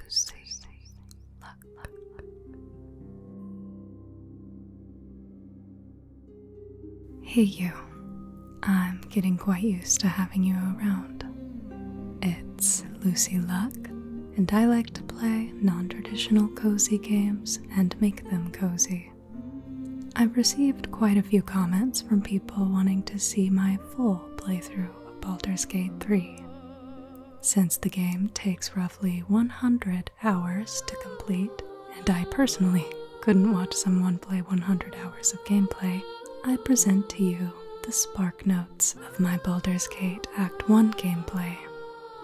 Lucy, luck, Hey, you. I'm getting quite used to having you around. It's Lucy Luck, and I like to play non traditional cozy games and make them cozy. I've received quite a few comments from people wanting to see my full playthrough of Baldur's Gate 3. Since the game takes roughly 100 hours to complete, and I personally couldn't watch someone play 100 hours of gameplay, I present to you the spark notes of my Baldur's Gate Act 1 gameplay.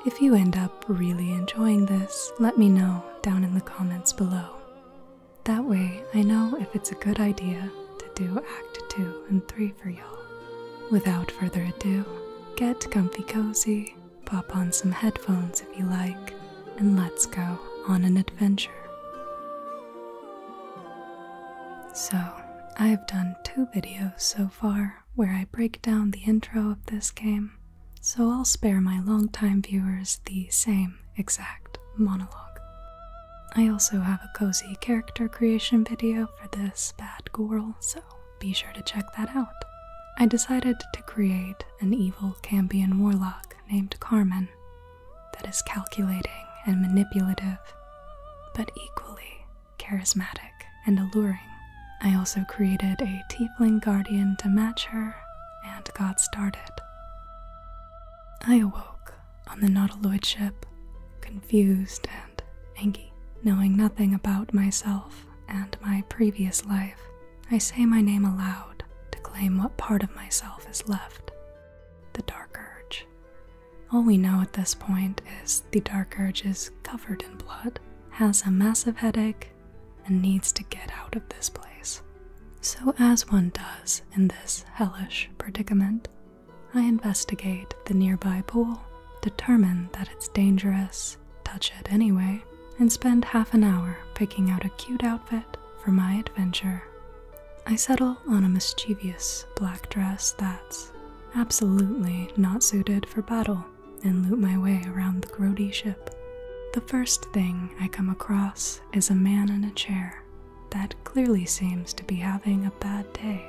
If you end up really enjoying this, let me know down in the comments below. That way, I know if it's a good idea to do Act 2 and 3 for y'all. Without further ado, get comfy cozy, pop on some headphones if you like, and let's go on an adventure. So, I've done two videos so far where I break down the intro of this game, so I'll spare my longtime viewers the same exact monologue. I also have a cozy character creation video for this bad girl, so be sure to check that out. I decided to create an evil Cambian warlock named Carmen that is calculating and manipulative, but equally charismatic and alluring. I also created a tiefling guardian to match her and got started. I awoke on the Nautiloid ship, confused and and Enki. Knowing nothing about myself and my previous life, I say my name aloud to claim what part of myself is left the Dark Urge. All we know at this point is the Dark Urge is covered in blood, has a massive headache, and needs to get out of this place. So, as one does in this hellish predicament, I investigate the nearby pool, determine that it's dangerous, touch it anyway, and spend half an hour picking out a cute outfit for my adventure. I settle on a mischievous black dress that's absolutely not suited for battle and loot my way around the grody ship. The first thing I come across is a man in a chair that clearly seems to be having a bad day.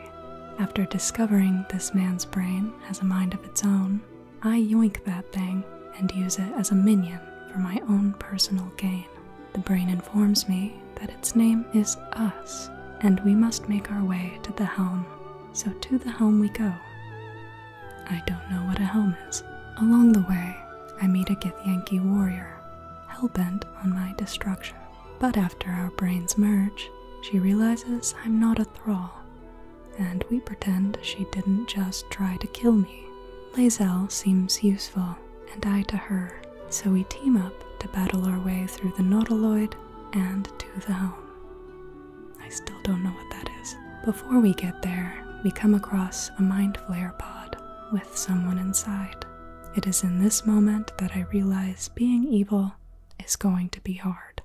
After discovering this man's brain has a mind of its own, I yoink that thing and use it as a minion for my own personal gain. The brain informs me that its name is us, and we must make our way to the helm. So to the helm we go. I don't know what a helm is. Along the way, I meet a Githyanki warrior, hell-bent on my destruction. But after our brains merge, she realizes I'm not a thrall, and we pretend she didn't just try to kill me. Lazel seems useful, and I to her, so we team up to battle our way through the Nautiloid and to the helm. I still don't know what that is. Before we get there, we come across a mind flare pod with someone inside. It is in this moment that I realize being evil is going to be hard.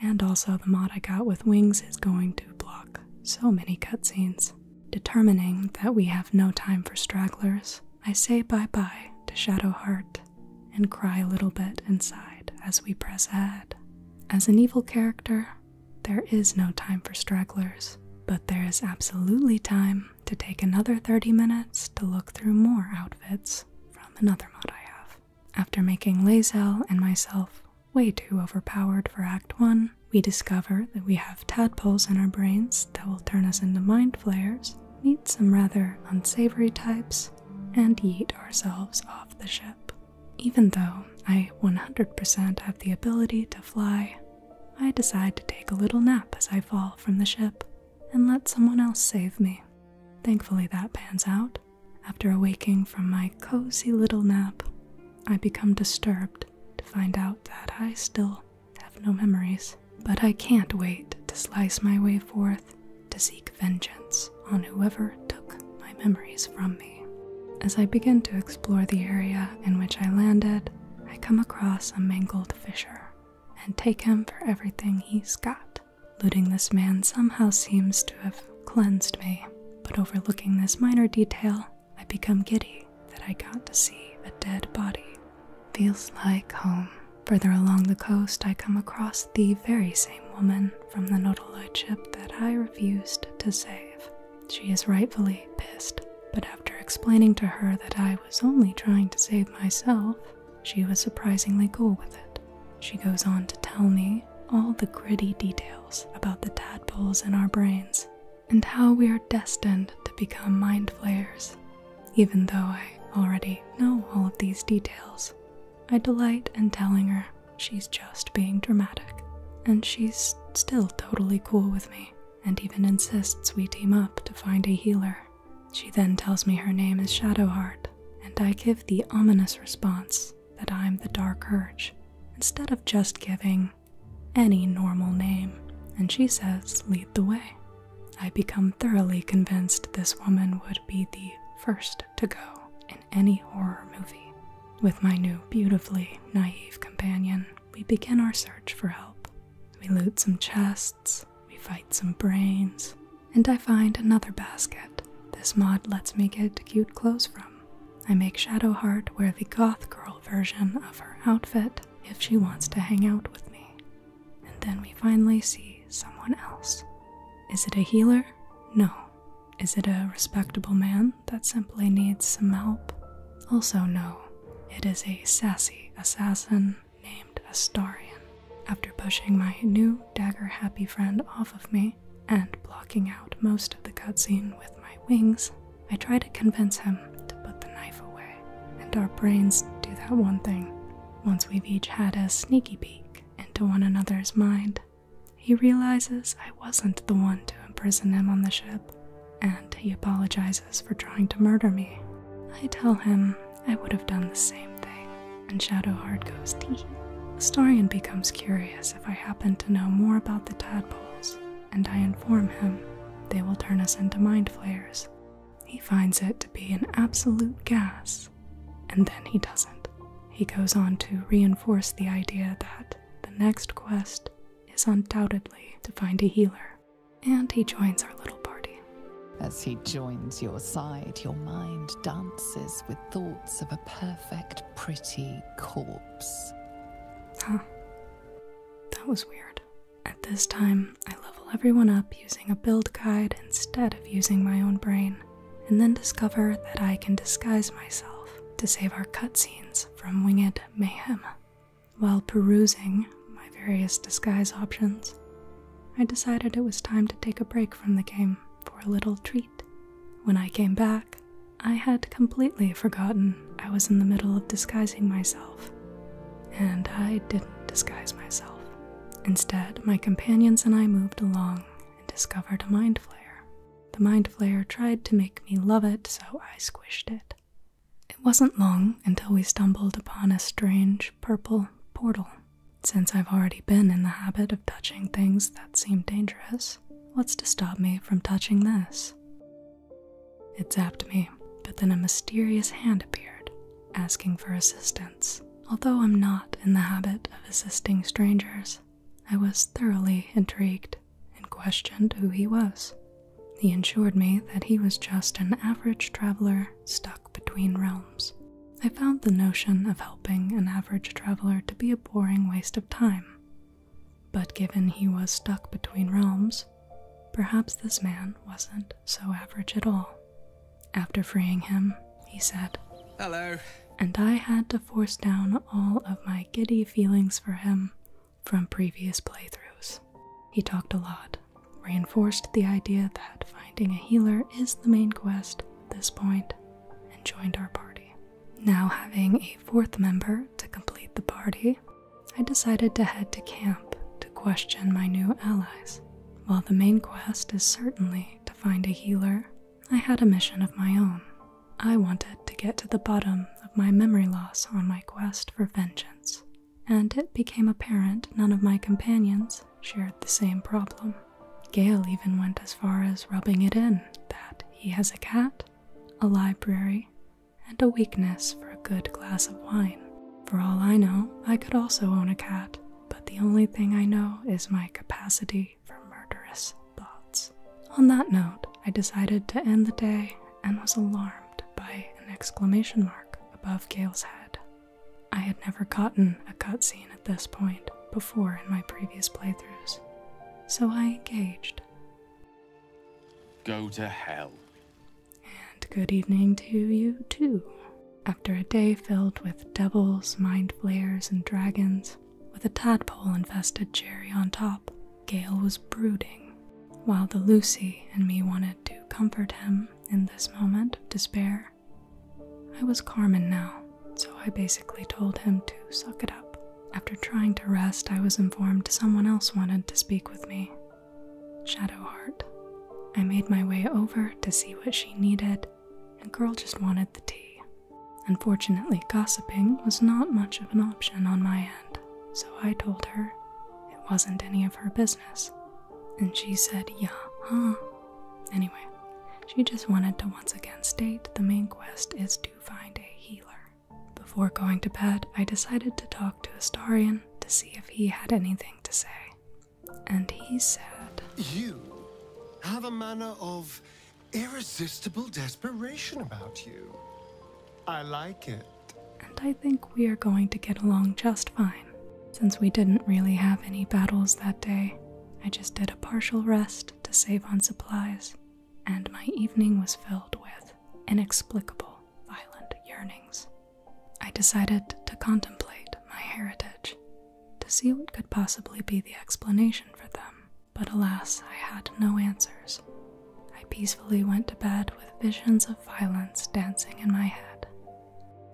And also, the mod I got with wings is going to block so many cutscenes. Determining that we have no time for stragglers, I say bye bye to Shadowheart and cry a little bit inside as we press ahead. As an evil character, there is no time for stragglers, but there is absolutely time to take another 30 minutes to look through more outfits from another mod I have. After making Lazel and myself way too overpowered for Act 1, we discover that we have tadpoles in our brains that will turn us into mind flayers, meet some rather unsavory types, and yeet ourselves off the ship. Even though I 100% have the ability to fly, I decide to take a little nap as I fall from the ship and let someone else save me. Thankfully, that pans out. After awaking from my cozy little nap, I become disturbed to find out that I still have no memories. But I can't wait to slice my way forth to seek vengeance on whoever took my memories from me. As I begin to explore the area in which I landed, I come across a mangled fissure and take him for everything he's got. Looting this man somehow seems to have cleansed me, but overlooking this minor detail, I become giddy that I got to see a dead body. Feels like home. Further along the coast, I come across the very same woman from the Nodoloid ship that I refused to save. She is rightfully pissed, but after explaining to her that I was only trying to save myself, she was surprisingly cool with it. She goes on to tell me all the gritty details about the tadpoles in our brains and how we are destined to become mind flayers. Even though I already know all of these details, I delight in telling her she's just being dramatic, and she's still totally cool with me and even insists we team up to find a healer. She then tells me her name is Shadowheart, and I give the ominous response that I'm the Dark Urge, instead of just giving any normal name, and she says, Lead the way. I become thoroughly convinced this woman would be the first to go in any horror movie. With my new, beautifully naive companion, we begin our search for help. We loot some chests we fight some brains, and I find another basket. This mod lets me get cute clothes from. I make Shadowheart wear the goth girl version of her outfit if she wants to hang out with me. And then we finally see someone else. Is it a healer? No. Is it a respectable man that simply needs some help? Also, no. It is a sassy assassin named Astarian after pushing my new dagger happy friend off of me and blocking out most of the cutscene with my wings i try to convince him to put the knife away and our brains do that one thing once we've each had a sneaky peek into one another's mind he realizes i wasn't the one to imprison him on the ship and he apologizes for trying to murder me i tell him I would have done the same thing. And Shadowheart goes tee. The Starion becomes curious if I happen to know more about the tadpoles, and I inform him they will turn us into mind flayers. He finds it to be an absolute gas, and then he doesn't. He goes on to reinforce the idea that the next quest is undoubtedly to find a healer. And he joins our little party. As he joins your side, your mind dances with thoughts of a perfect, pretty corpse. Huh. That was weird. At this time, I level everyone up using a build guide instead of using my own brain, and then discover that I can disguise myself to save our cutscenes from winged mayhem. While perusing my various disguise options, I decided it was time to take a break from the game for a little treat. When I came back, I had completely forgotten I was in the middle of disguising myself, and I didn't disguise myself. Instead, my companions and I moved along and discovered a mind flare. The mind flare tried to make me love it, so I squished it. It wasn't long until we stumbled upon a strange purple portal. Since I've already been in the habit of touching things that seem dangerous, what's to stop me from touching this? It zapped me, but then a mysterious hand appeared, asking for assistance. Although I'm not in the habit of assisting strangers, I was thoroughly intrigued and questioned who he was. He assured me that he was just an average traveler stuck between realms. I found the notion of helping an average traveler to be a boring waste of time. But given he was stuck between realms, perhaps this man wasn't so average at all. After freeing him, he said, Hello. And I had to force down all of my giddy feelings for him from previous playthroughs. He talked a lot, reinforced the idea that finding a healer is the main quest at this point and joined our party. Now, having a fourth member to complete the party, I decided to head to camp to question my new allies. While the main quest is certainly to find a healer, I had a mission of my own. I wanted to get to the bottom of my memory loss on my quest for vengeance and it became apparent none of my companions shared the same problem. Gail even went as far as rubbing it in that he has a cat, a library, and a weakness for a good glass of wine. For all I know, I could also own a cat, but the only thing I know is my capacity for murderous thoughts. On that note, I decided to end the day and was alarmed by an exclamation mark above Gail's head. I had never gotten a cutscene at this point before in my previous playthroughs, so I engaged. Go to hell. And good evening to you, too. After a day filled with devils, mind flayers, and dragons, with a tadpole infested cherry on top, Gale was brooding, while the Lucy and me wanted to comfort him in this moment of despair I was Carmen now, so I basically told him to suck it up. After trying to rest, I was informed someone else wanted to speak with me Shadowheart. I made my way over to see what she needed, and girl just wanted the tea. Unfortunately, gossiping was not much of an option on my end, so I told her it wasn't any of her business. And she said, Yeah, huh? Anyway, she just wanted to once again state the main quest is to find a healer. Before going to bed, I decided to talk to Astarian to see if he had anything to say. And he said, You have a manner of irresistible desperation about you. I like it. And I think we are going to get along just fine. Since we didn't really have any battles that day, I just did a partial rest to save on supplies, and my evening was filled with inexplicable violent yearnings. I decided to contemplate my heritage, to see what could possibly be the explanation for them, but alas, I had no answers. I peacefully went to bed with visions of violence dancing in my head.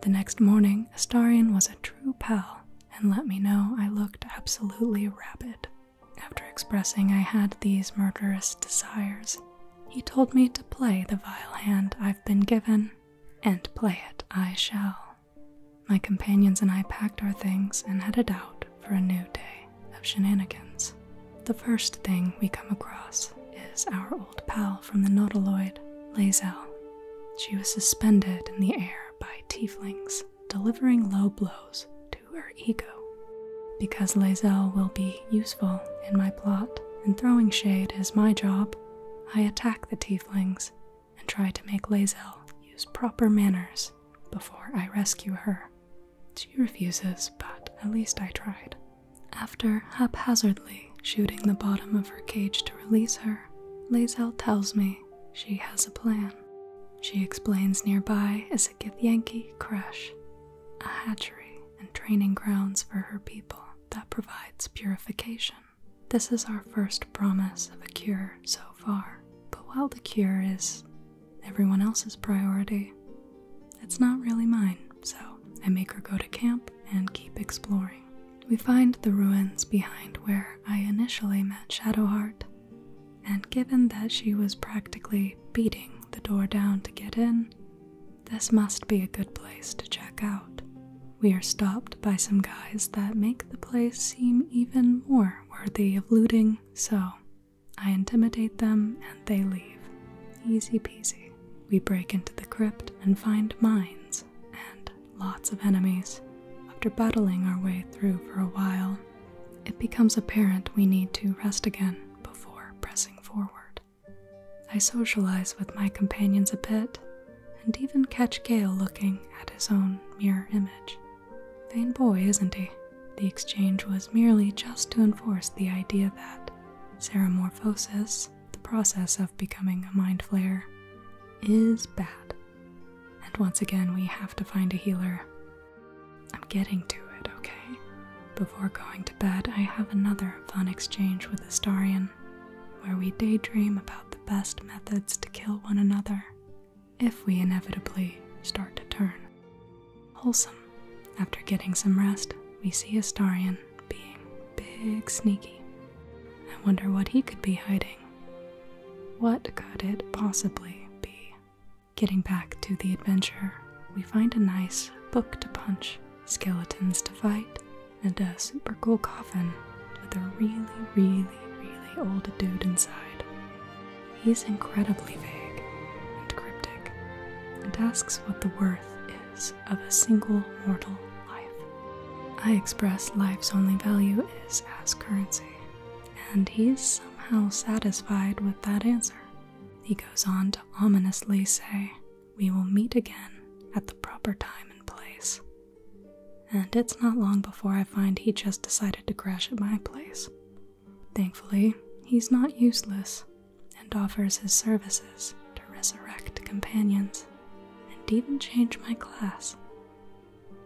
The next morning, Astarian was a true pal and let me know I looked absolutely rabid. After expressing I had these murderous desires, he told me to play the vile hand I've been given, and play it I shall. My companions and I packed our things and headed out for a new day of shenanigans. The first thing we come across is our old pal from the Nautiloid, Lazel. She was suspended in the air by tieflings, delivering low blows to her ego. Because Lazel will be useful in my plot and throwing shade is my job, I attack the tieflings and try to make Lazel use proper manners before I rescue her. She refuses, but at least I tried. After haphazardly shooting the bottom of her cage to release her, Lazelle tells me she has a plan. She explains nearby is a Githyanki crash, a hatchery and training grounds for her people that provides purification. This is our first promise of a cure so far. But while the cure is everyone else's priority, it's not really mine, so I make her go to camp and keep exploring. We find the ruins behind where I initially met Shadowheart, and given that she was practically beating the door down to get in, this must be a good place to check out. We are stopped by some guys that make the place seem even more worthy of looting, so I intimidate them and they leave. Easy peasy. We break into the crypt and find mines and lots of enemies. After battling our way through for a while, it becomes apparent we need to rest again before pressing forward. I socialize with my companions a bit and even catch Gale looking at his own mirror image. Vain boy, isn't he? The exchange was merely just to enforce the idea that Seramorphosis the process of becoming a mind flayer is bad. And once again, we have to find a healer. I'm getting to it, okay? Before going to bed, I have another fun exchange with Astarian, where we daydream about the best methods to kill one another if we inevitably start to turn. Wholesome. After getting some rest, we see Astarian being big sneaky. I wonder what he could be hiding. What could it possibly be? Getting back to the adventure, we find a nice book to punch, skeletons to fight, and a super cool coffin with a really, really, really old dude inside. He's incredibly vague and cryptic and asks what the worth is of a single mortal life. I express life's only value is as currency, and he's somehow satisfied with that answer. He goes on to ominously say, We will meet again at the proper time and place. And it's not long before I find he just decided to crash at my place. Thankfully, he's not useless and offers his services to resurrect companions and even change my class.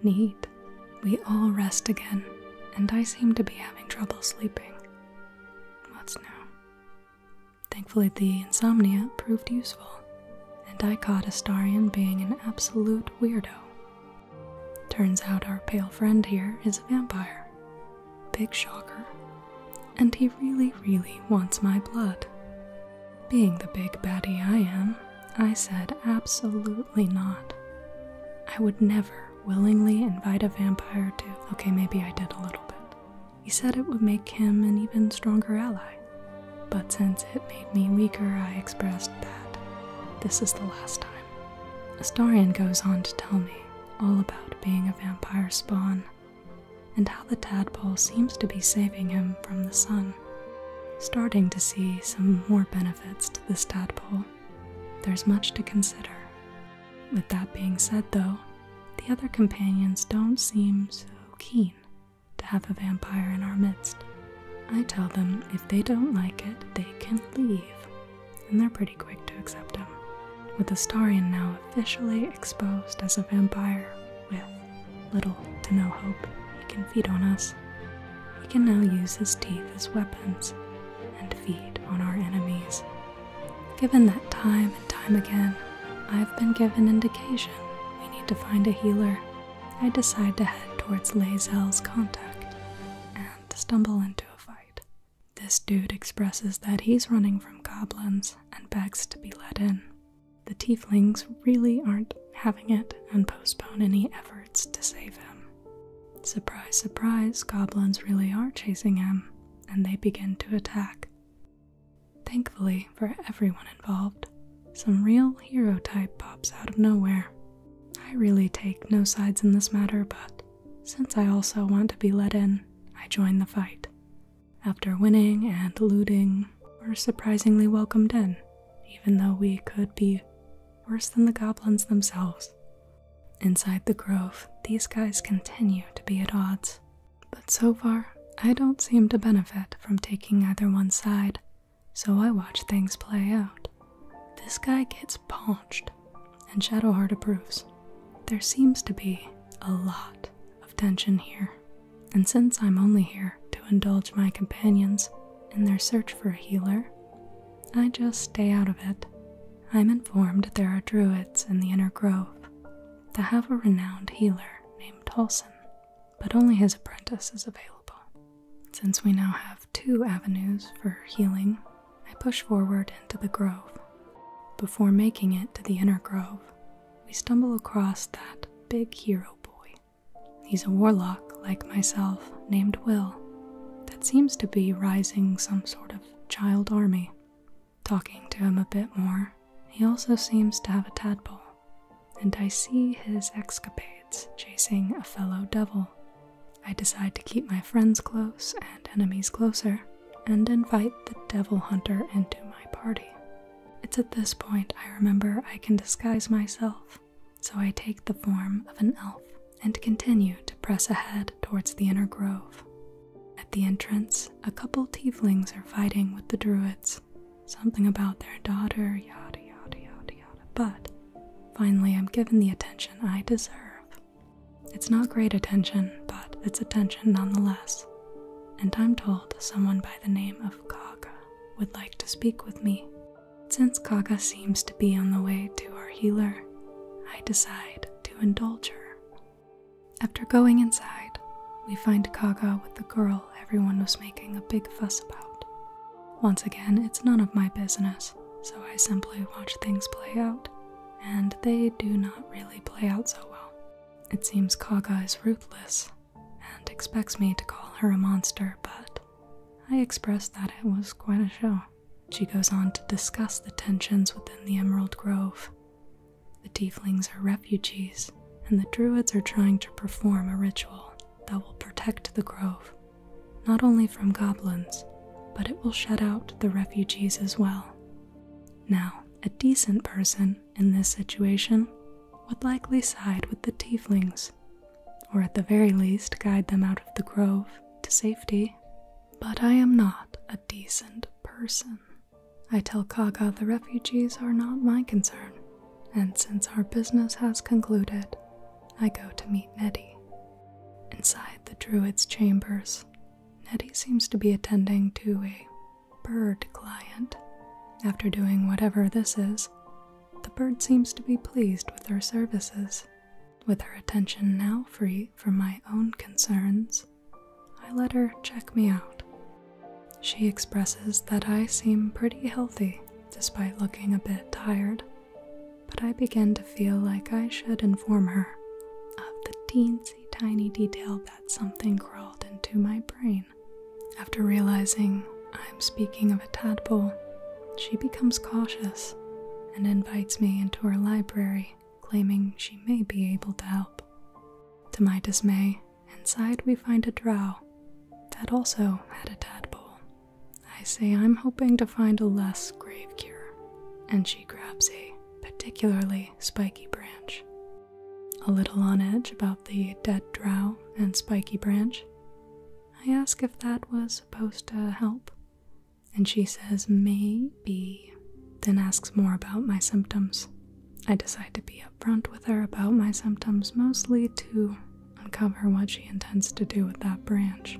Neat. We all rest again, and I seem to be having trouble sleeping. What's now? Thankfully, the insomnia proved useful, and I caught Astarian being an absolute weirdo. Turns out our pale friend here is a vampire. Big shocker. And he really, really wants my blood. Being the big baddie I am, I said absolutely not. I would never willingly invite a vampire to. Okay, maybe I did a little bit. He said it would make him an even stronger ally. But since it made me weaker, I expressed that this is the last time. Astarian goes on to tell me all about being a vampire spawn and how the tadpole seems to be saving him from the sun. Starting to see some more benefits to this tadpole. There's much to consider. With that being said, though, the other companions don't seem so keen to have a vampire in our midst. I tell them if they don't like it, they can leave, and they're pretty quick to accept him. With Astarian now officially exposed as a vampire, with little to no hope, he can feed on us. He can now use his teeth as weapons and feed on our enemies. Given that time and time again, I've been given indication we need to find a healer. I decide to head towards Lazel's contact and stumble into a fight. This dude expresses that he's running from goblins and begs to be let in. The tieflings really aren't having it and postpone any efforts to save him. Surprise, surprise, goblins really are chasing him, and they begin to attack. Thankfully for everyone involved, some real hero type pops out of nowhere. I really take no sides in this matter, but since I also want to be let in, I join the fight. After winning and looting, we're surprisingly welcomed in, even though we could be worse than the goblins themselves. Inside the grove, these guys continue to be at odds, but so far, I don't seem to benefit from taking either one side, so I watch things play out. This guy gets paunched, and Shadowheart approves. There seems to be a lot of tension here and since I'm only here to indulge my companions in their search for a healer, I just stay out of it. I'm informed there are druids in the inner grove that have a renowned healer named Tolson, but only his apprentice is available. Since we now have two avenues for healing, I push forward into the grove. Before making it to the inner grove, we stumble across that big hero boy. He's a warlock like myself named Will that seems to be rising some sort of child army. Talking to him a bit more, he also seems to have a tadpole, and I see his escapades chasing a fellow devil. I decide to keep my friends close and enemies closer, and invite the devil hunter into my party. It's at this point I remember I can disguise myself, so I take the form of an elf and continue to press ahead towards the inner grove. At the entrance, a couple tieflings are fighting with the druids. Something about their daughter, yada yada yada yada. But finally, I'm given the attention I deserve. It's not great attention, but it's attention nonetheless. And I'm told someone by the name of Kaga would like to speak with me. Since Kaga seems to be on the way to our healer, I decide to indulge her. After going inside, we find Kaga with the girl everyone was making a big fuss about. Once again, it's none of my business, so I simply watch things play out, and they do not really play out so well. It seems Kaga is ruthless and expects me to call her a monster, but I expressed that it was quite a show. She goes on to discuss the tensions within the Emerald Grove. The tieflings are refugees, and the druids are trying to perform a ritual that will protect the grove, not only from goblins, but it will shut out the refugees as well. Now, a decent person in this situation would likely side with the tieflings, or at the very least guide them out of the grove to safety. But I am not a decent person. I tell Kaga the refugees are not my concern, and since our business has concluded, I go to meet Nettie. Inside the druid's chambers, Nettie seems to be attending to a bird client. After doing whatever this is, the bird seems to be pleased with her services. With her attention now free from my own concerns, I let her check me out. She expresses that I seem pretty healthy despite looking a bit tired, but I begin to feel like I should inform her of the teensy tiny detail that something crawled into my brain after realizing I'm speaking of a tadpole, she becomes cautious and invites me into her library, claiming she may be able to help. To my dismay, inside we find a drow that also had a tadpole. I say I'm hoping to find a less grave cure, and she grabs a particularly spiky branch a little on edge about the dead drow and spiky branch. I ask if that was supposed to help, and she says maybe, then asks more about my symptoms. I decide to be upfront with her about my symptoms mostly to uncover what she intends to do with that branch.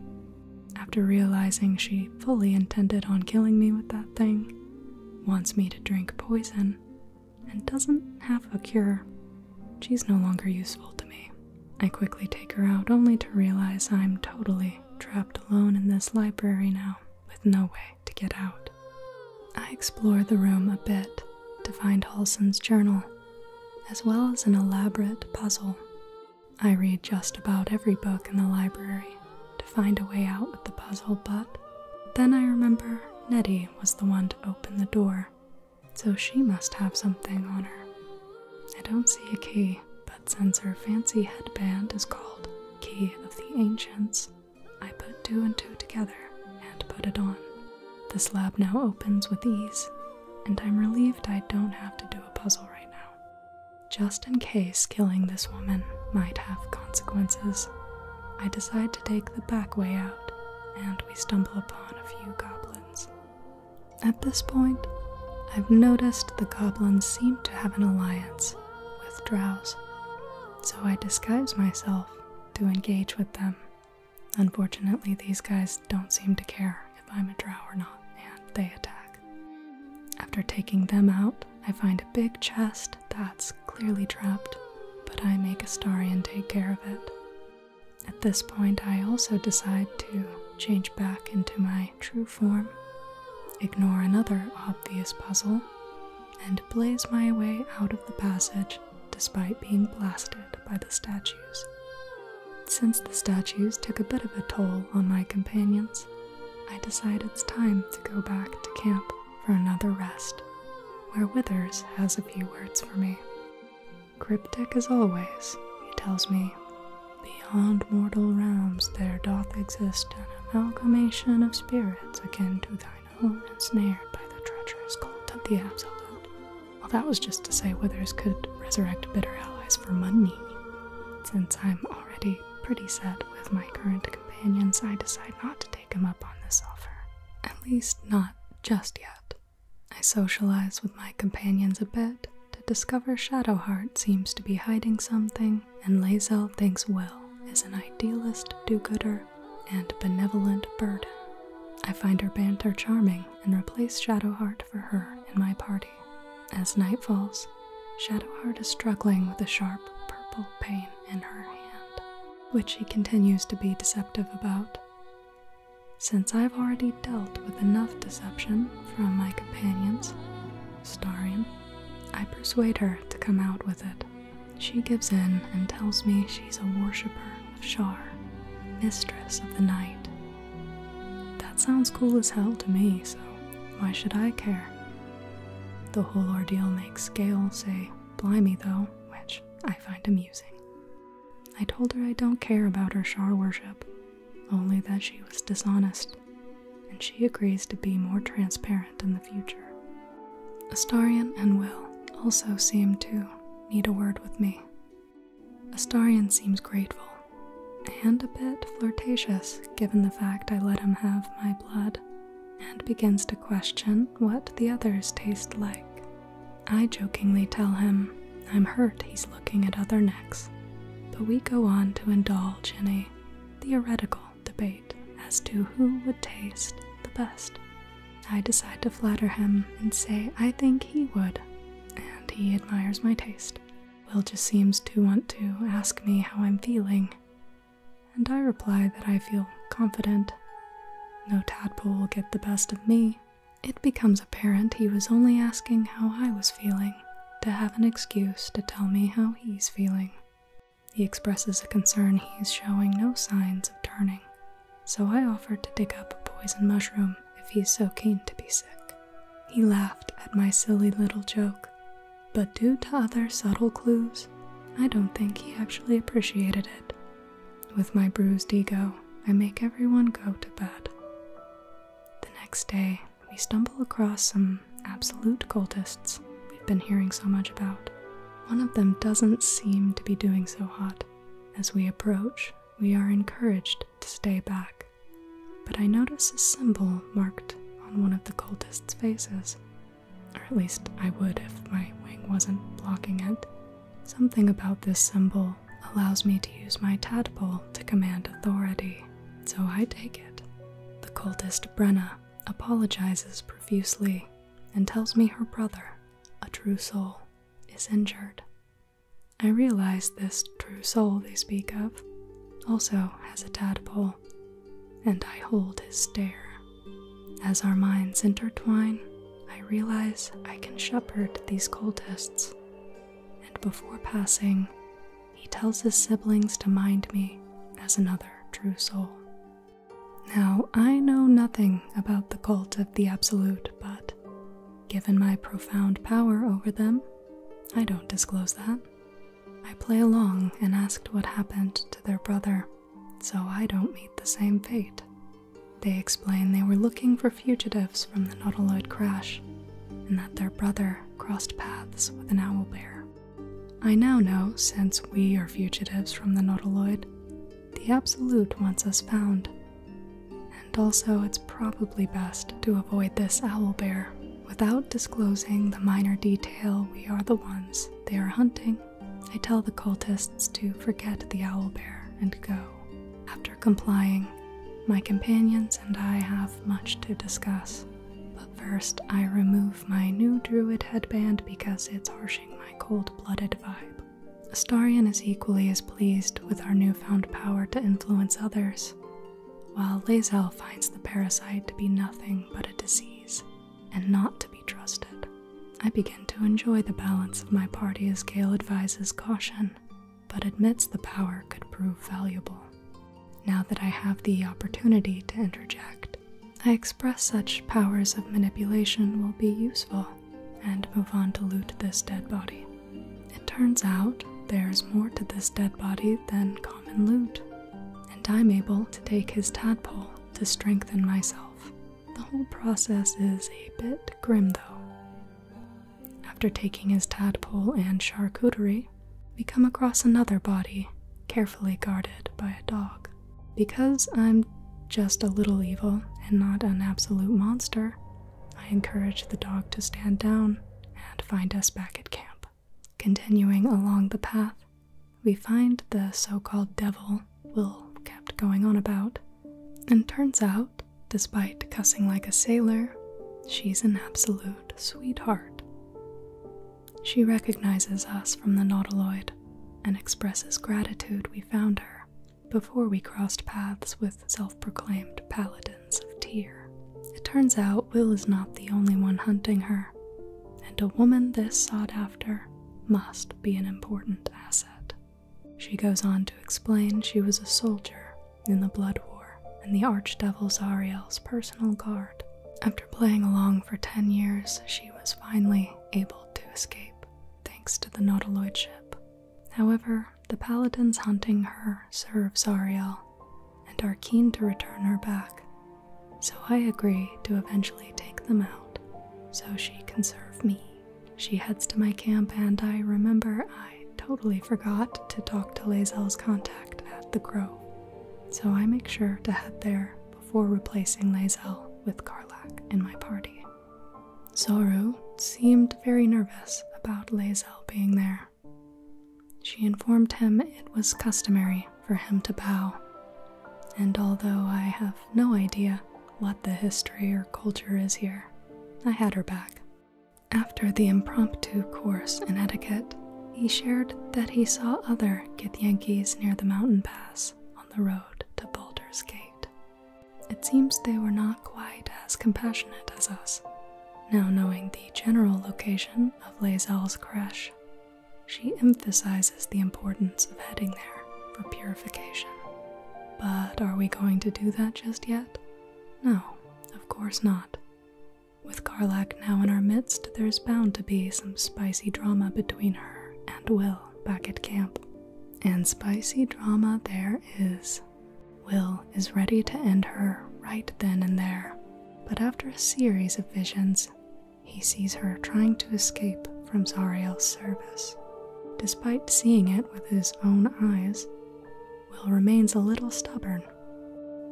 After realizing she fully intended on killing me with that thing, wants me to drink poison, and doesn't have a cure. She's no longer useful to me. I quickly take her out only to realize I'm totally trapped alone in this library now, with no way to get out. I explore the room a bit to find Holson's journal, as well as an elaborate puzzle. I read just about every book in the library to find a way out with the puzzle, but then I remember Nettie was the one to open the door, so she must have something on her. I don't see a key, but since her fancy headband is called Key of the Ancients, I put two and two together and put it on. The slab now opens with ease, and I'm relieved I don't have to do a puzzle right now. Just in case killing this woman might have consequences, I decide to take the back way out, and we stumble upon a few goblins. At this point, I've noticed the goblins seem to have an alliance with drows, so I disguise myself to engage with them. Unfortunately, these guys don't seem to care if I'm a drow or not, and they attack. After taking them out, I find a big chest that's clearly trapped, but I make a and take care of it. At this point, I also decide to change back into my true form, ignore another obvious puzzle, and blaze my way out of the passage despite being blasted by the statues. Since the statues took a bit of a toll on my companions, I decide it's time to go back to camp for another rest, where Withers has a few words for me. Cryptic as always, he tells me, beyond mortal realms there doth exist an amalgamation of spirits akin to thine own, ensnared by the treacherous cult of the absolute. Well, that was just to say Withers could resurrect bitter allies for money. Since I'm already pretty set with my current companions, I decide not to take take him up on this offer. At least not just yet. I socialize with my companions a bit to discover Shadowheart seems to be hiding something, and Lazel thinks Will is an idealist do-gooder and benevolent burden. I find her banter charming and replace Shadowheart for her in my party. As night falls, Shadowheart is struggling with a sharp purple pain in her hand which she continues to be deceptive about. Since I've already dealt with enough deception from my companions, Starion, I persuade her to come out with it. She gives in and tells me she's a worshipper of Shar, mistress of the night. That sounds cool as hell to me, so why should I care? The whole ordeal makes Gail say, Blimey, though, which I find amusing. I told her I don't care about her Shar worship, only that she was dishonest, and she agrees to be more transparent in the future. Astarian and Will also seem to need a word with me. Astarian seems grateful, and a bit flirtatious given the fact I let him have my blood and begins to question what the others taste like. I jokingly tell him I'm hurt he's looking at other necks, but we go on to indulge in a theoretical debate as to who would taste the best. I decide to flatter him and say I think he would, and he admires my taste. Will just seems to want to ask me how I'm feeling, and I reply that I feel confident. No tadpole will get the best of me. It becomes apparent he was only asking how I was feeling, to have an excuse to tell me how he's feeling. He expresses a concern he's showing no signs of turning, so I offered to dig up a poison mushroom if he's so keen to be sick. He laughed at my silly little joke, but due to other subtle clues, I don't think he actually appreciated it with my bruised ego, I make everyone go to bed. The next day, we stumble across some absolute cultists we've been hearing so much about. One of them doesn't seem to be doing so hot. As we approach, we are encouraged to stay back. But I notice a symbol marked on one of the cultists' faces. Or at least I would if my wing wasn't blocking it. Something about this symbol allows me to use my tadpole to command authority, so I take it. The cultist Brenna apologizes profusely and tells me her brother, a true soul, is injured. I realize this true soul they speak of also has a tadpole, and I hold his stare. As our minds intertwine, I realize I can shepherd these cultists. And before passing, he tells his siblings to mind me as another true soul. Now, I know nothing about the cult of the Absolute, but given my profound power over them, I don't disclose that. I play along and asked what happened to their brother so I don't meet the same fate. They explain they were looking for fugitives from the Nautiloid crash and that their brother crossed paths with an owl bear. I now know, since we are fugitives from the Nautiloid, the Absolute wants us found. And also, it's probably best to avoid this owl bear without disclosing the minor detail we are the ones they are hunting I tell the cultists to forget the owl bear and go. After complying, my companions and I have much to discuss. But first, I remove my new druid headband because it's harshing my cold blooded vibe. Astarian is equally as pleased with our newfound power to influence others, while Lazel finds the parasite to be nothing but a disease and not to be trusted. I begin to enjoy the balance of my party as Gale advises caution, but admits the power could prove valuable. Now that I have the opportunity to interject, I express such powers of manipulation will be useful and move on to loot this dead body. It turns out there's more to this dead body than common loot, and I'm able to take his tadpole to strengthen myself. The whole process is a bit grim though. After taking his tadpole and charcuterie, we come across another body, carefully guarded by a dog. Because I'm just a little evil and not an absolute monster, I encourage the dog to stand down and find us back at camp. Continuing along the path, we find the so called devil Will kept going on about, and turns out, despite cussing like a sailor, she's an absolute sweetheart. She recognizes us from the Nautiloid and expresses gratitude we found her before we crossed paths with self proclaimed paladins of tear. It turns out Will is not the only one hunting her, and a woman this sought after must be an important asset. She goes on to explain she was a soldier in the Blood War and the Archdevil Zariel's personal guard. After playing along for 10 years, she was finally able to escape, thanks to the Nautiloid ship. However, the paladins hunting her serve Zariel and are keen to return her back, so I agree to eventually take them out so she can serve me. She heads to my camp, and I remember I totally forgot to talk to Lazel's contact at the Grove, so I make sure to head there before replacing Lazel with Karlak in my party. Soru seemed very nervous about Lazel being there. She informed him it was customary for him to bow, and although I have no idea what the history or culture is here. I had her back. After the impromptu course in etiquette, he shared that he saw other Yankees near the mountain pass on the road to Boulder's Gate. It seems they were not quite as compassionate as us. Now, knowing the general location of Lazel's creche, she emphasizes the importance of heading there for purification. But are we going to do that just yet? No, of course not. With Karlak now in our midst, there's bound to be some spicy drama between her and Will back at camp. And spicy drama there is. Will is ready to end her right then and there, but after a series of visions, he sees her trying to escape from Zariel's service. Despite seeing it with his own eyes, Will remains a little stubborn.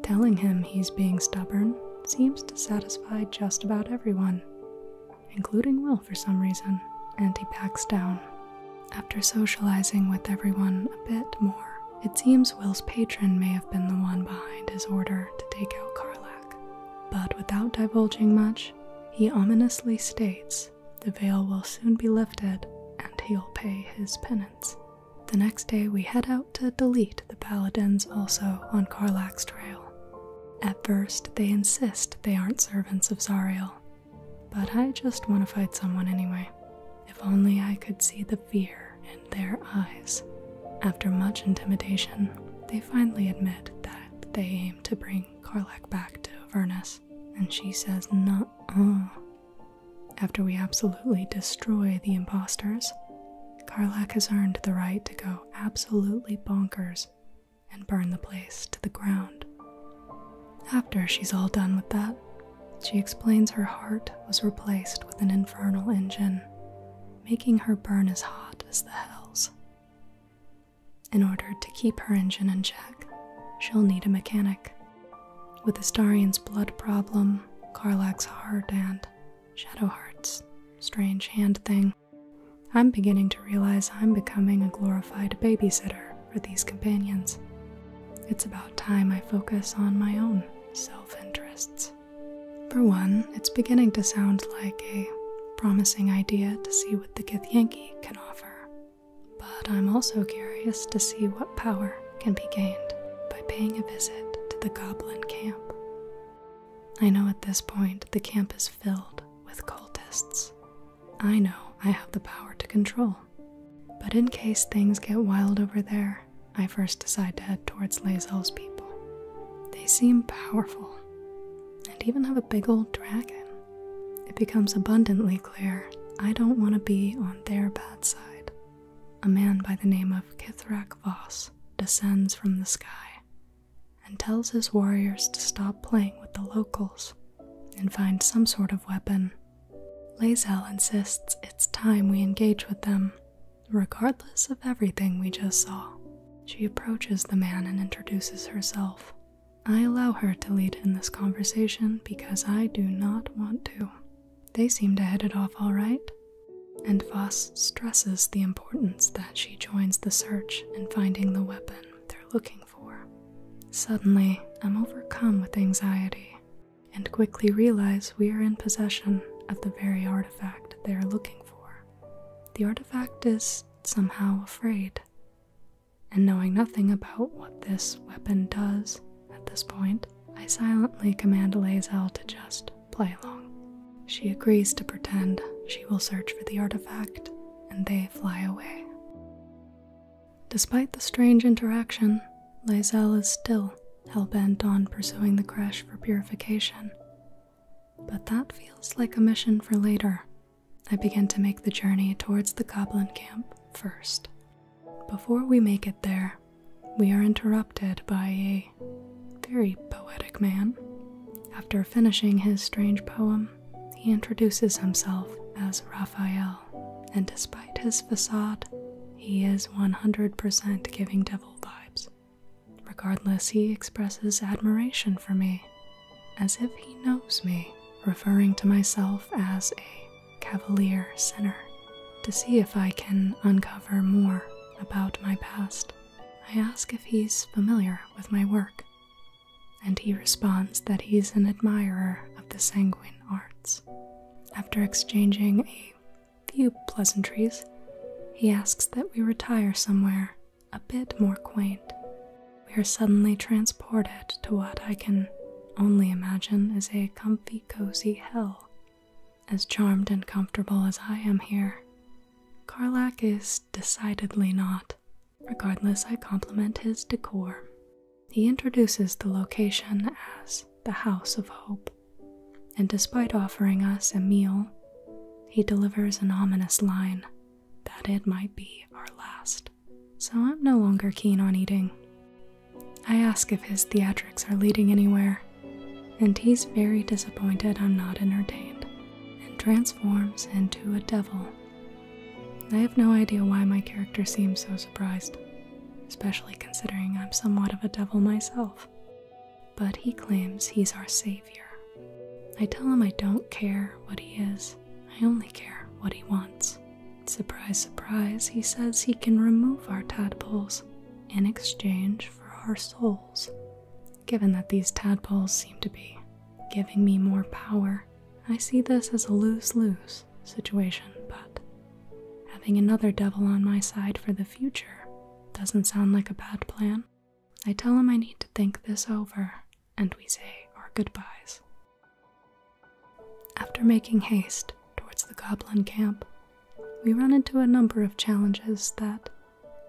Telling him he's being stubborn seems to satisfy just about everyone, including Will for some reason, and he backs down. After socializing with everyone a bit more, it seems Will's patron may have been the one behind his order to take out Karlak. But without divulging much, he ominously states the veil will soon be lifted and he'll pay his penance. The next day, we head out to delete the paladins also on Karlak's trail. At first, they insist they aren't servants of Zariel, but I just want to fight someone anyway. If only I could see the fear in their eyes. After much intimidation, they finally admit that they aim to bring bring back to Avernus, and she says, Nuh uh. After we absolutely destroy the imposters, Karlak has earned the right to go absolutely bonkers and burn the place to the ground. After she's all done with that, she explains her heart was replaced with an infernal engine, making her burn as hot as the hells. In order to keep her engine in check, she'll need a mechanic. With the Astarian's blood problem, Karlak's heart, and Shadowheart's strange hand thing, I'm beginning to realize I'm becoming a glorified babysitter for these companions. It's about time I focus on my own self interests. For one, it's beginning to sound like a promising idea to see see the Githyanki can offer, but I'm also curious to see what power can be gained by paying a visit to the goblin camp. I know at this point the camp is filled with cultists. I know I have the power to control. But in case things get wild over there, I first decide to head towards Lezal's people. They seem powerful and even have a big old dragon. It becomes abundantly clear I don't want to be on their bad side. A man by the name of Kithrak Voss descends from the sky and tells his warriors to stop playing with the locals and find some sort of weapon. Lazel insists it's time we engage with them, regardless of everything we just saw. She approaches the man and introduces herself. I allow her to lead in this conversation because I do not want to. They seem to head it off all right. And Voss stresses the importance that she joins the search in finding the weapon they're looking for. Suddenly, I'm overcome with anxiety and quickly realize we are in possession of the very artifact they are looking for. The artifact is somehow afraid. And knowing nothing about what this weapon does at this point, I silently command Lazel to just play along. She agrees to pretend she will search for the artifact, and they fly away. Despite the strange interaction, Lazel is still hell-bent on pursuing the crash for purification. But that feels like a mission for later, I begin to make the journey towards the goblin camp first. Before we make it there, we are interrupted by a very poetic man. After finishing his strange poem, he introduces himself as Raphael, and despite his facade, he is 100% giving devil vibes. Regardless, he expresses admiration for me as if he knows me, referring to myself as a cavalier sinner, to see if I can uncover more about my past. I ask if he's familiar with my work, and he responds that he's an admirer of the sanguine arts. After exchanging a few pleasantries, he asks that we retire somewhere a bit more quaint, we are suddenly transported to what I can only imagine as a comfy, cozy hell. As charmed and comfortable as I am here, Carlac is decidedly not. Regardless, I compliment his decor. He introduces the location as the House of Hope, and despite offering us a meal, he delivers an ominous line that it might be our last, so I'm no longer keen on eating. I ask if his theatrics are leading anywhere, and he's very disappointed I'm not entertained, and transforms into a devil. I have no idea why my character seems so surprised, especially considering I'm somewhat of a devil myself. But he claims he's our savior I tell him I don't care what he is, I only care what he wants. Surprise, surprise, he says he can remove our tadpoles in exchange for our souls. Given that these tadpoles seem to be giving me more power, I see this as a lose lose situation, but having another devil on my side for the future doesn't sound like a bad plan. I tell him I need to think this over and we say our goodbyes. After making haste towards the goblin camp, we run into a number of challenges that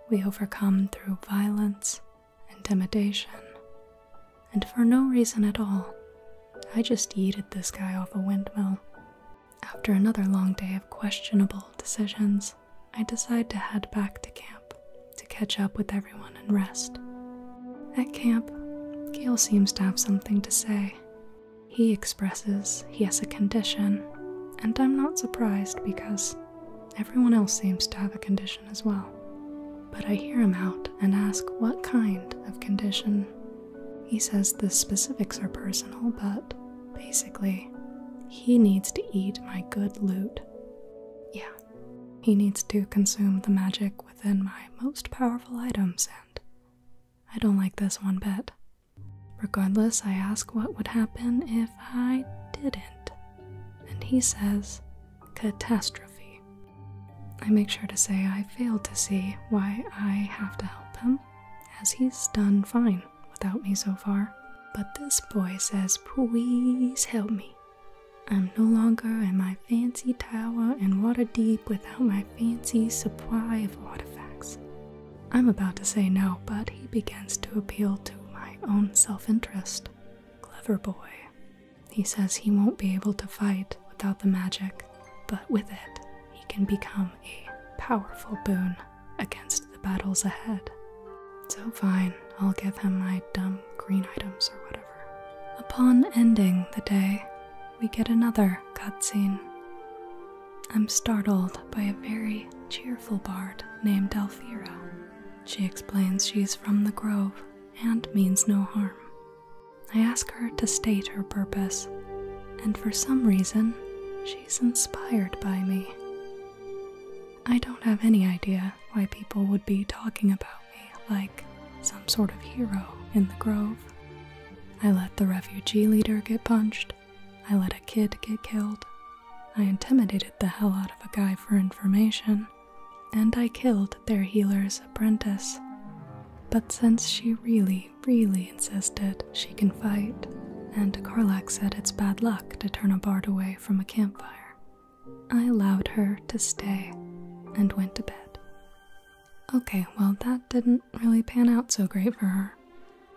we overcome through violence, intimidation, and for no reason at all. I just yeeted this guy off a windmill. After another long day of questionable decisions, I decide to head back to camp to catch up with everyone and rest. At camp, Gale seems to have something to say. He expresses he has a condition, and I'm not surprised because everyone else seems to have a condition as well. But I hear him out and ask what kind of condition. He says the specifics are personal, but basically, he needs to eat my good loot. Yeah, he needs to consume the magic within my most powerful items, and I don't like this one bit. Regardless, I ask what would happen if I didn't, and he says, Catastrophe. I make sure to say I fail to see why I have to help him, as he's done fine without me so far. But this boy says, Please help me. I'm no longer in my fancy tower and water deep without my fancy supply of artifacts. I'm about to say no, but he begins to appeal to my own self interest. Clever boy. He says he won't be able to fight without the magic, but with it, he can become a powerful boon against the battles ahead. So fine, I'll give him my dumb green items or whatever. Upon ending the day, we get another cutscene. I'm startled by a very cheerful bard named Elvira. She explains she's from the grove and means no harm. I ask her to state her purpose, and for some reason, she's inspired by me. I don't have any idea why people would be talking about me like some sort of hero in the grove. I let the refugee leader get punched. I let a kid get killed. I intimidated the hell out of a guy for information. And I killed their healer's apprentice. But since she really, really insisted she can fight, and Karlak said it's bad luck to turn a bard away from a campfire, I allowed her to stay and went to bed. Okay, well, that didn't really pan out so great for her.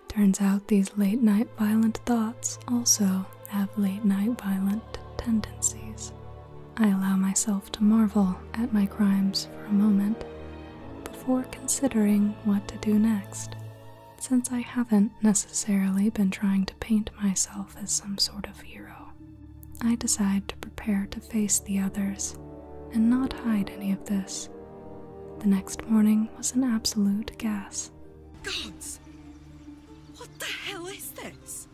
Turns out these late night violent thoughts also have late night violent tendencies. I allow myself to marvel at my crimes for a moment before considering what to do next, since I haven't necessarily been trying to paint myself as some sort of hero. I decide to prepare to face the others and not hide any of this. The next morning was an absolute gas. Gods! What the hell is this?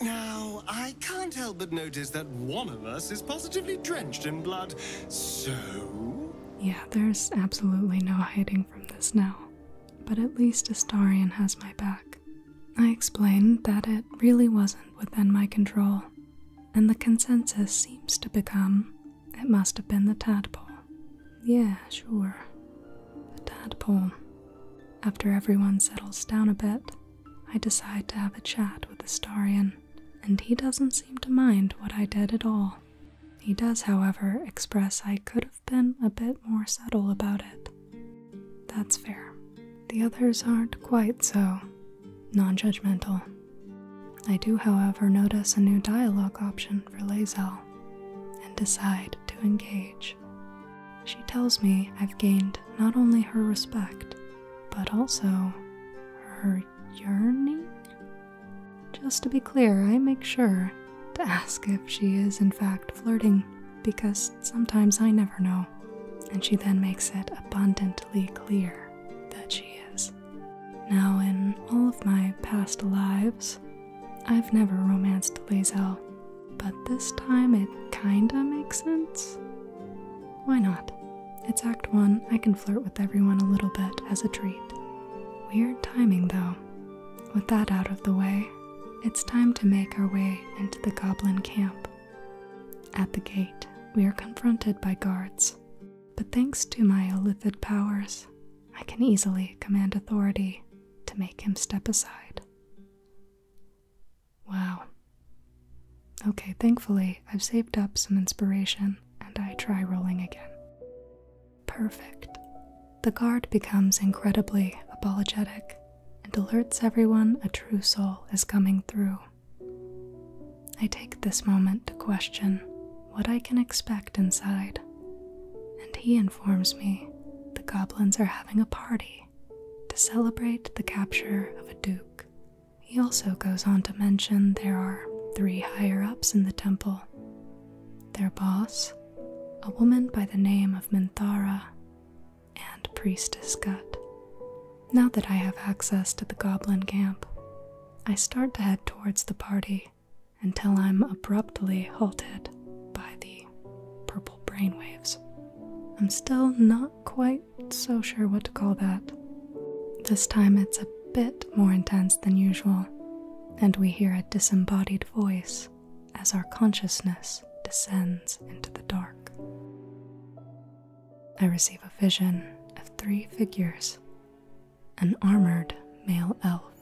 Now, I can't help but notice that one of us is positively drenched in blood, so. Yeah, there's absolutely no hiding from this now but at least Astarian has my back. I explained that it really wasn't within my control, and the consensus seems to become it must have been the tadpole. Yeah, sure. The tadpole. After everyone settles down a bit, I decide to have a chat with Astarian, and he doesn't seem to mind what I did at all. He does, however, express I could been a bit more subtle about it. That's fair. The others aren't quite so non judgmental. I do, however, notice a new dialogue option for Lazel and decide to engage. She tells me I've gained not only her respect, but also her yearning? Just to be clear, I make sure to ask if she is, in fact, flirting, because sometimes I never know. And she then makes it abundantly clear that she is. Now, in all of my past lives, I've never romanced Lazel, but this time it kinda makes sense. Why not? It's Act 1, I can flirt with everyone a little bit as a treat. Weird timing, though. With that out of the way, it's time to make our way into the goblin camp. At the gate, we are confronted by guards, but thanks to my Olithid powers, I can easily command authority to make him step aside. Wow. Okay, thankfully, I've saved up some inspiration and I try rolling again perfect. The guard becomes incredibly apologetic and alerts everyone a true soul is coming through. I take this moment to question what I can expect inside, and he informs me the goblins are having a party to celebrate the capture of a duke. He also goes on to mention there are three higher ups in the temple their boss, a woman by the name of Minthara, and Priestess Gut. Now that I have access to the goblin camp, I start to head towards the party until I'm abruptly halted by the purple brainwaves. I'm still not quite so sure what to call that. This time it's a bit more intense than usual, and we hear a disembodied voice as our consciousness descends into the dark. I receive a vision of three figures an armored male elf,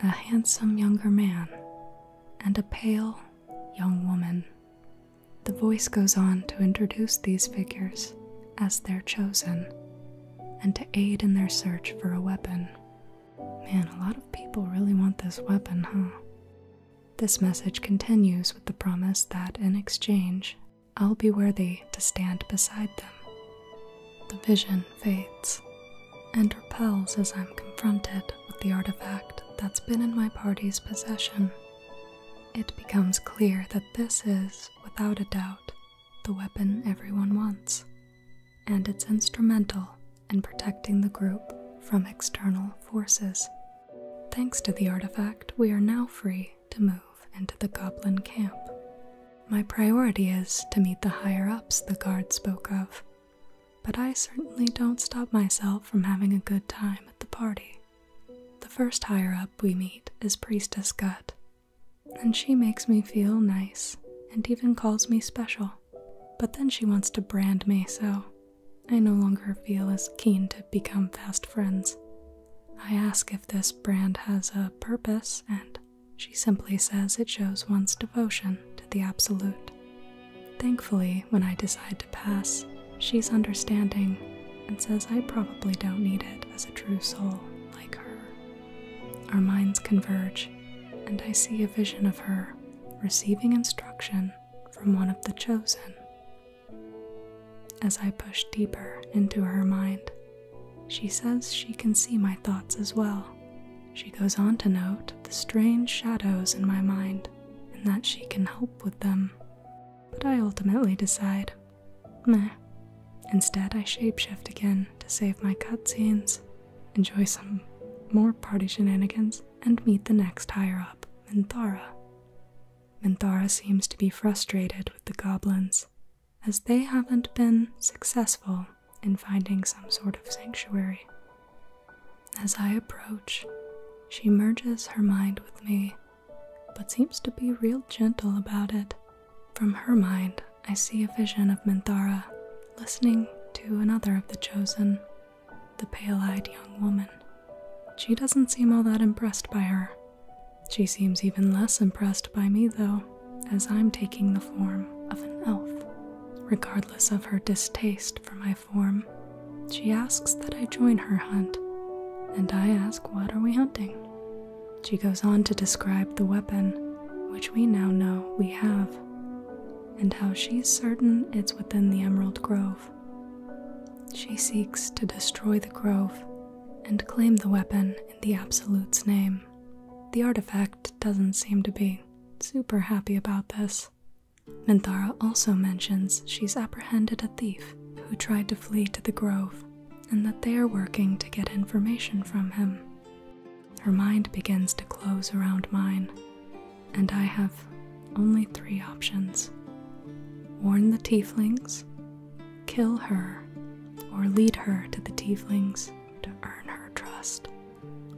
a handsome younger man, and a pale young woman. The voice goes on to introduce these figures as their chosen and to aid in their search for a weapon Man, a lot of people really want this weapon, huh? This message continues with the promise that in exchange, I'll be worthy to stand beside them. The vision fades and repels as I'm confronted with the artifact that's been in my party's possession. It becomes clear that this is, without a doubt, the weapon everyone wants and it's instrumental in protecting the group from external forces. Thanks to the artifact, we are now free to move into the goblin camp. My priority is to meet the higher ups the guard spoke of, but I certainly don't stop myself from having a good time at the party. The first higher up we meet is Priestess Gut, and she makes me feel nice and even calls me special. But then she wants to brand me, so I no longer feel as keen to become fast friends. I ask if this brand has a purpose, and she simply says it shows one's devotion to the absolute. Thankfully, when I decide to pass, she's understanding and says I probably don't need it as a true soul like her. Our minds converge, and I see a vision of her receiving instruction from one of the chosen. As I push deeper into her mind, she says she can see my thoughts as well. She goes on to note the strange shadows in my mind and that she can help with them. But I ultimately decide, meh. Instead, I shapeshift again to save my cutscenes enjoy some more party shenanigans, and meet the next higher up, Minthara. Minthara seems to be frustrated with the goblins, as they haven't been successful in finding some sort of sanctuary. As I approach, she merges her mind with me, but seems to be real gentle about it. From her mind, I see a vision of Minthara listening to another of the chosen, the pale eyed young woman. She doesn't seem all that impressed by her. She seems even less impressed by me, though, as I'm taking the form of an elf. Regardless of her distaste for my form, she asks that I join her hunt, and I ask, What are we hunting? She goes on to describe the weapon, which we now know we have and how she's certain it's within the Emerald Grove. She seeks to destroy the grove and claim the weapon in the Absolute's name. The artifact doesn't seem to be super happy about this. Minthara also mentions she's apprehended a thief who tried to flee to the grove and that they are working to get information from him. Her mind begins to close around mine, and I have only three options warn the tieflings, kill her, or lead her to the tieflings to earn her trust.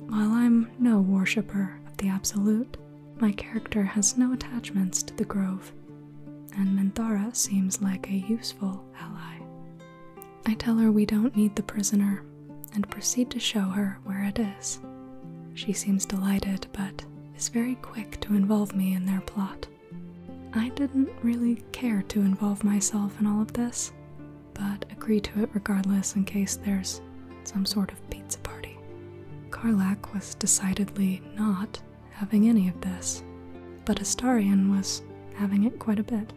While I'm no worshipper of the Absolute, my character has no attachments to the Grove, and Menthara seems like a useful ally. I tell her we don't need the prisoner, and proceed to show her where it is. She seems delighted, but is very quick to involve me in their plot. I didn't really care to involve myself in all of this, but agree to it regardless in case there's some sort of pizza party. Karlak was decidedly not having any of this, but Astarian was having it quite a bit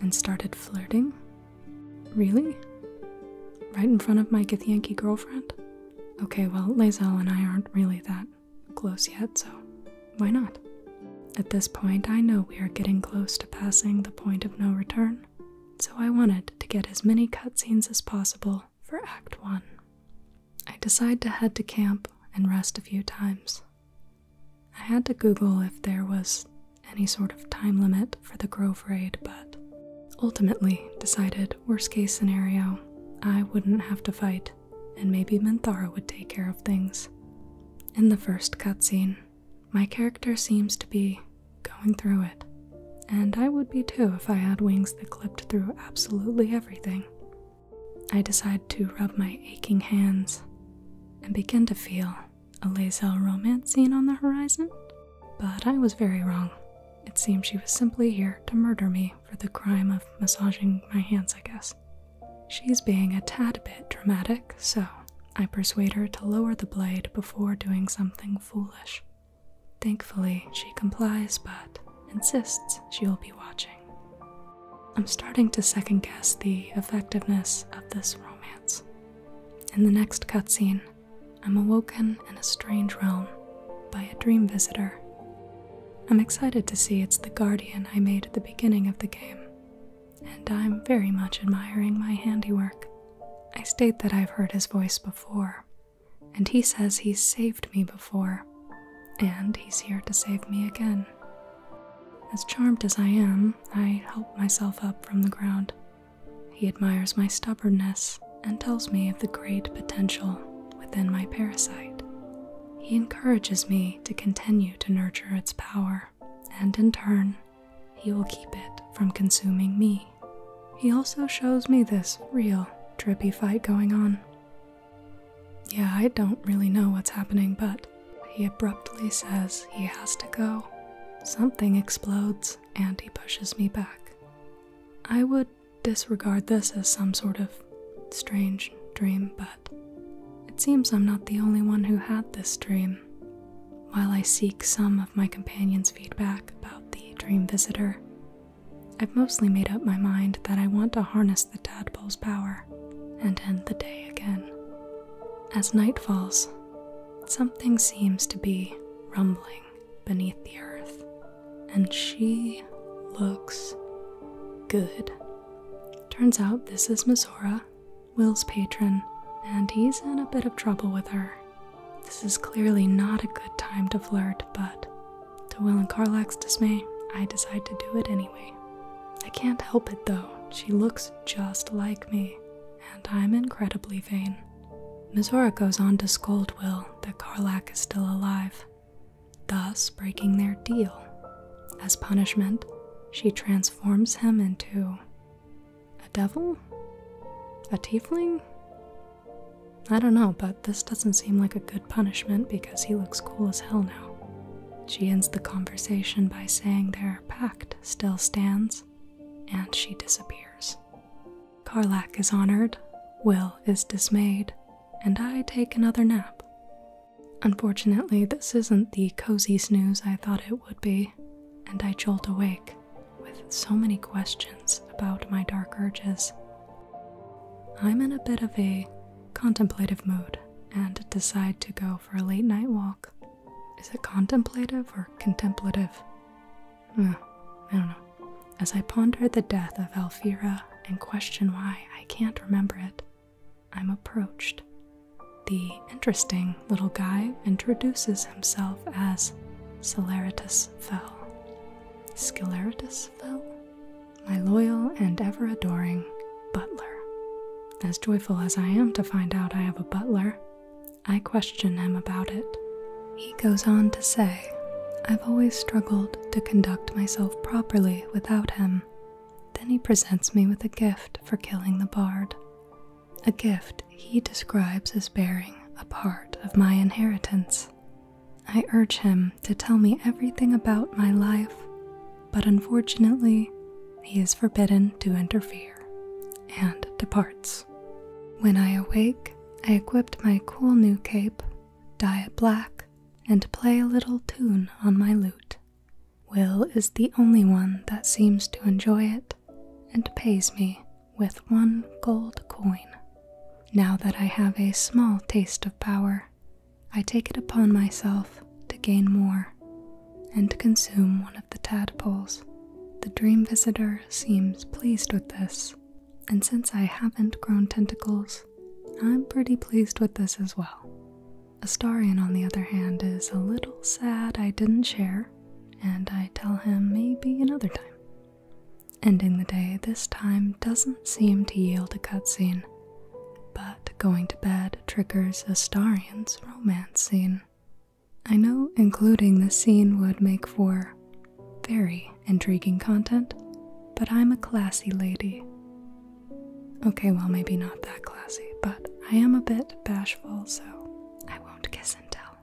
and started flirting Really? Right in front of my Githyanki girlfriend? Okay, well, Lazelle and I aren't really that close yet, so why not? At this point, I know we are getting close to passing the point of no return, so I wanted to get as many cutscenes as possible for Act 1. I decide to head to camp and rest a few times. I had to Google if there was any sort of time limit for the Grove raid, but ultimately decided worst case scenario, I wouldn't have to fight, and maybe Minthara would take care of things. In the first cutscene, my character seems to be going through it, and I would be too if I had wings that clipped through absolutely everything. I decide to rub my aching hands and begin to feel a Lazel romance scene on the horizon? But I was very wrong. It seems she was simply here to murder me for the crime of massaging my hands, I guess. She's being a tad bit dramatic, so I persuade her to lower the blade before doing something foolish. Thankfully, she complies but insists she will be watching. I'm starting to second guess the effectiveness of this romance. In the next cutscene, I'm awoken in a strange realm by a dream visitor. I'm excited to see it's the guardian I made at the beginning of the game, and I'm very much admiring my handiwork. I state that I've heard his voice before, and he says he's saved me before, and he's here to save me again. As charmed as I am, I help myself up from the ground he admires my stubbornness and tells me of the great potential within my parasite. He encourages me to continue to nurture its power, and in turn, he will keep it from consuming me. He also shows me this real trippy fight going on. Yeah, I don't really know what's happening, but he abruptly says he has to go. Something explodes, and he pushes me back. I would disregard this as some sort of strange dream, but it seems I'm not the only one who had this dream. While I seek some of my companions' feedback about the dream visitor, I've mostly made up my mind that I want to harness the tadpole's power and end the day again. As night falls, Something seems to be rumbling beneath the earth, and she looks good. Turns out this is Mizora, Will's patron, and he's in a bit of trouble with her. This is clearly not a good time to flirt, but to Will and Carlax's dismay, I decide to do it anyway. I can't help it though, she looks just like me and I'm incredibly vain. Mizora goes on to scold Will that Karlak is still alive, thus breaking their deal. As punishment, she transforms him into a devil? A tiefling? I don't know, but this doesn't seem like a good punishment because he looks cool as hell now. She ends the conversation by saying their pact still stands and she disappears. Karlak is honored, Will is dismayed, and I take another nap. Unfortunately, this isn't the cozy snooze I thought it would be, and I jolt awake with so many questions about my dark urges. I'm in a bit of a contemplative mood and decide to go for a late night walk is it contemplative or contemplative? I don't know. As I ponder the death of Alfira and question why I can't remember it, I'm approached. The interesting little guy introduces himself as Celeritus Fell. Sceleritus Fell? My loyal and ever adoring butler. As joyful as I am to find out I have a butler, I question him about it. He goes on to say, I've always struggled to conduct myself properly without him. Then he presents me with a gift for killing the bard. A gift he describes as bearing a part of my inheritance. I urge him to tell me everything about my life, but unfortunately, he is forbidden to interfere and departs. When I awake, I equipped my cool new cape, dye it black, and play a little tune on my lute. Will is the only one that seems to enjoy it and pays me with one gold coin. Now that I have a small taste of power, I take it upon myself to gain more and consume one of the tadpoles, the dream visitor seems pleased with this, and since I haven't grown tentacles, I'm pretty pleased with this as well. Astarian, on the other hand, is a little sad I didn't share, and I tell him maybe another time. Ending the day this time doesn't seem to yield a cutscene, but going to bed triggers Astarian's romance scene. I know including this scene would make for very intriguing content, but I'm a classy lady. Okay, well, maybe not that classy, but I am a bit bashful, so I won't kiss and tell.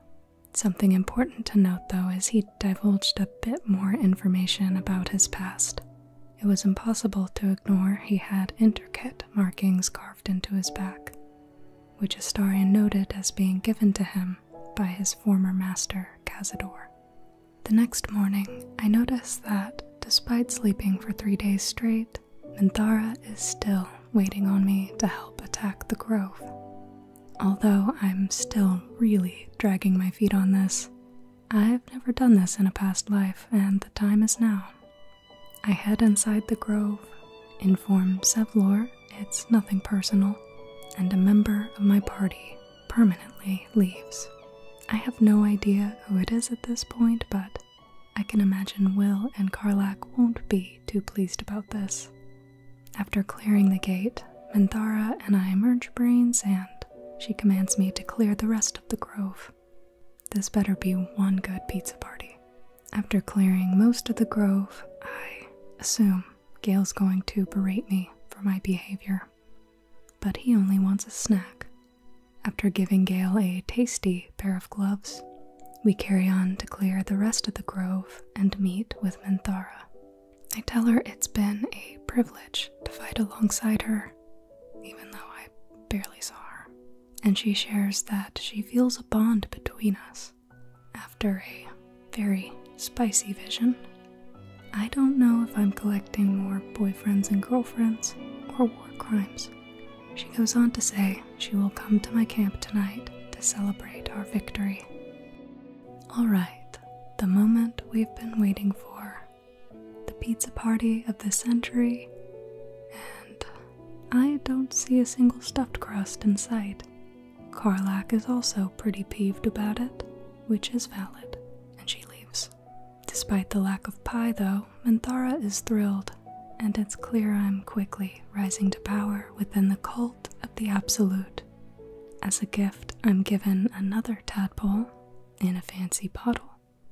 Something important to note, though, as he divulged a bit more information about his past. It was impossible to ignore he had intricate markings carved into his back, which Astarian noted as being given to him by his former master, Cazador. The next morning, I noticed that, despite sleeping for three days straight, Minthara is still waiting on me to help attack the grove. Although I'm still really dragging my feet on this, I've never done this in a past life, and the time is now. I head inside the grove, inform Sevlor it's nothing personal, and a member of my party permanently leaves. I have no idea who it is at this point, but I can imagine Will and Karlak won't be too pleased about this. After clearing the gate, Manthara and I emerge brains, and she commands me to clear the rest of the grove. This better be one good pizza party. After clearing most of the grove, I assume Gale's going to berate me for my behavior. But he only wants a snack. After giving Gale a tasty pair of gloves, we carry on to clear the rest of the grove and meet with Minthara. I tell her it's been a privilege to fight alongside her, even though I barely saw her, and she shares that she feels a bond between us after a very spicy vision. I don't know if I'm collecting more boyfriends and girlfriends or war crimes. She goes on to say she will come to my camp tonight to celebrate our victory. Alright, the moment we've been waiting for. The pizza party of the century, and I don't see a single stuffed crust in sight it. Carlac is also pretty peeved about it, which is valid, and she leaves. Despite the lack of pie, though, Manthara is thrilled, and it's clear I'm quickly rising to power within the cult of the Absolute. As a gift, I'm given another tadpole in a fancy bottle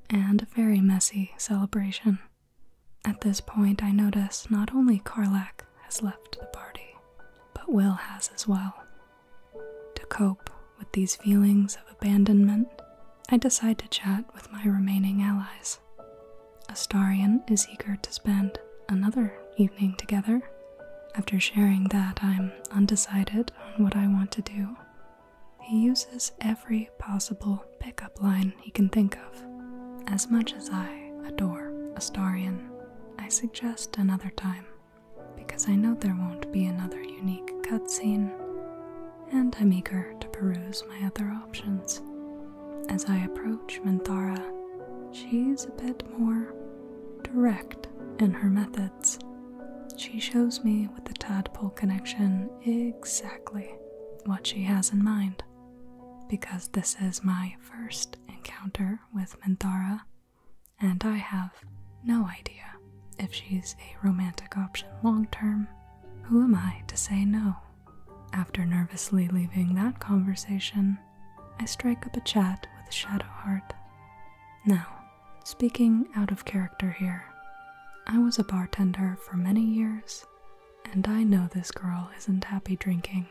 and a very messy celebration. At this point, I notice not only Karlak has left the party, but Will has as well. To cope with these feelings of abandonment, I decide to chat with my remaining allies. Astarian is eager to spend another evening together. After sharing that I'm undecided on what I want to do, he uses every possible pickup line he can think of. As much as I adore Astarian, I suggest another time, because I know there won't be another unique cutscene, and I'm eager to peruse my other options. As I approach Minthara, she's a bit more direct in her methods. She shows me with the tadpole connection exactly what she has in mind because this is my first encounter with Minthara, and I have no idea if she's a romantic option long term. Who am I to say no? After nervously leaving that conversation, I strike up a chat with Shadowheart. Now, speaking out of character here, I was a bartender for many years and I know this girl isn't happy drinking,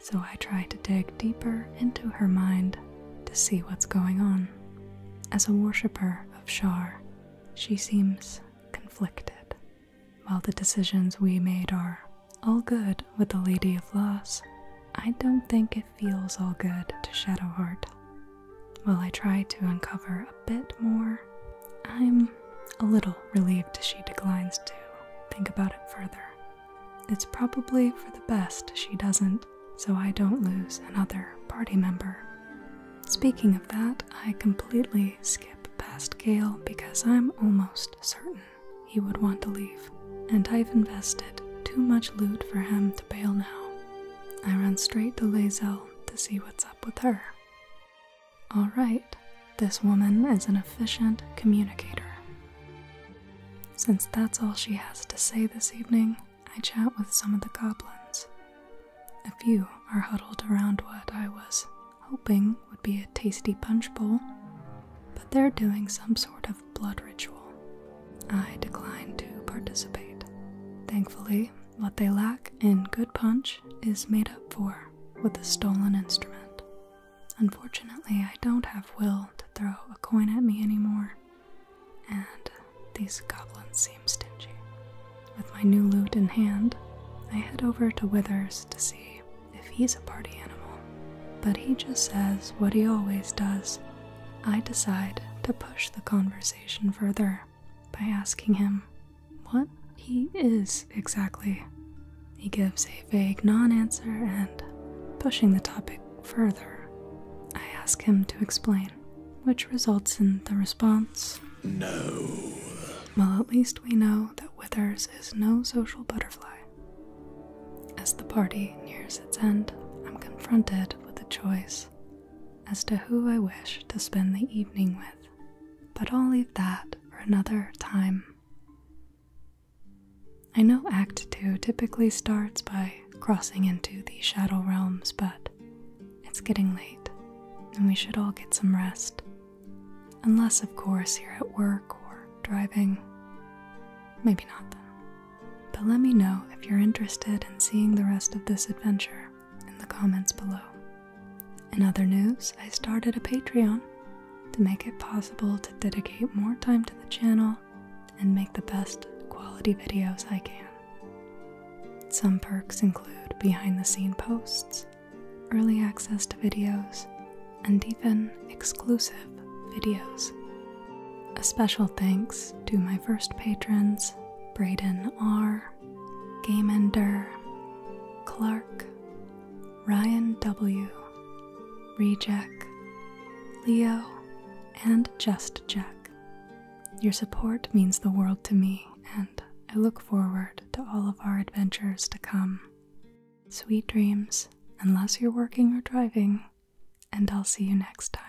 so I try to dig deeper into her mind to see what's going on. As a worshipper of Shar, she seems conflicted. While the decisions we made are all good with the Lady of Loss, I don't think it feels all good to Shadowheart. While I try to uncover a bit more I'm a little relieved she declines to think about it further. It's probably for the best she doesn't, so I don't lose another party member. Speaking of that, I completely skip past Gale because I'm almost certain he would want to leave, and I've invested too much loot for him to bail now. I run straight to Lazelle to see what's up with her. Alright, this woman is an efficient communicator. Since that's all she has to say this evening, I chat with some of the goblins. A few are huddled around what I was hoping would be a tasty punch bowl, but they're doing some sort of blood ritual. I decline to participate. Thankfully, what they lack in good punch is made up for with a stolen instrument. Unfortunately, I don't have will to throw a coin at me anymore, and these goblins seem stingy. With my new loot in hand, I head over to Withers to see if he's a party animal, but he just says what he always does. I decide to push the conversation further by asking him what he is exactly. He gives a vague non answer and, pushing the topic further, I ask him to explain, which results in the response No. Well, at least we know that Withers is no social butterfly. As the party nears its end, I'm confronted with a choice as to who I wish to spend the evening with, but I'll leave that for another time. I know Act 2 typically starts by crossing into the Shadow Realms, but it's getting late and we should all get some rest. Unless, of course, you're at work or driving. Maybe not then. But let me know if you're interested in seeing the rest of this adventure in the comments below. In other news, I started a Patreon to make it possible to dedicate more time to the channel and make the best quality videos I can. Some perks include behind the scene posts, early access to videos, and even exclusive videos. A special thanks to my first patrons Braden R., Gamender, Clark, Ryan W., Reject, Leo, and Just Jack. Your support means the world to me, and I look forward to all of our adventures to come. Sweet dreams, unless you're working or driving, and I'll see you next time.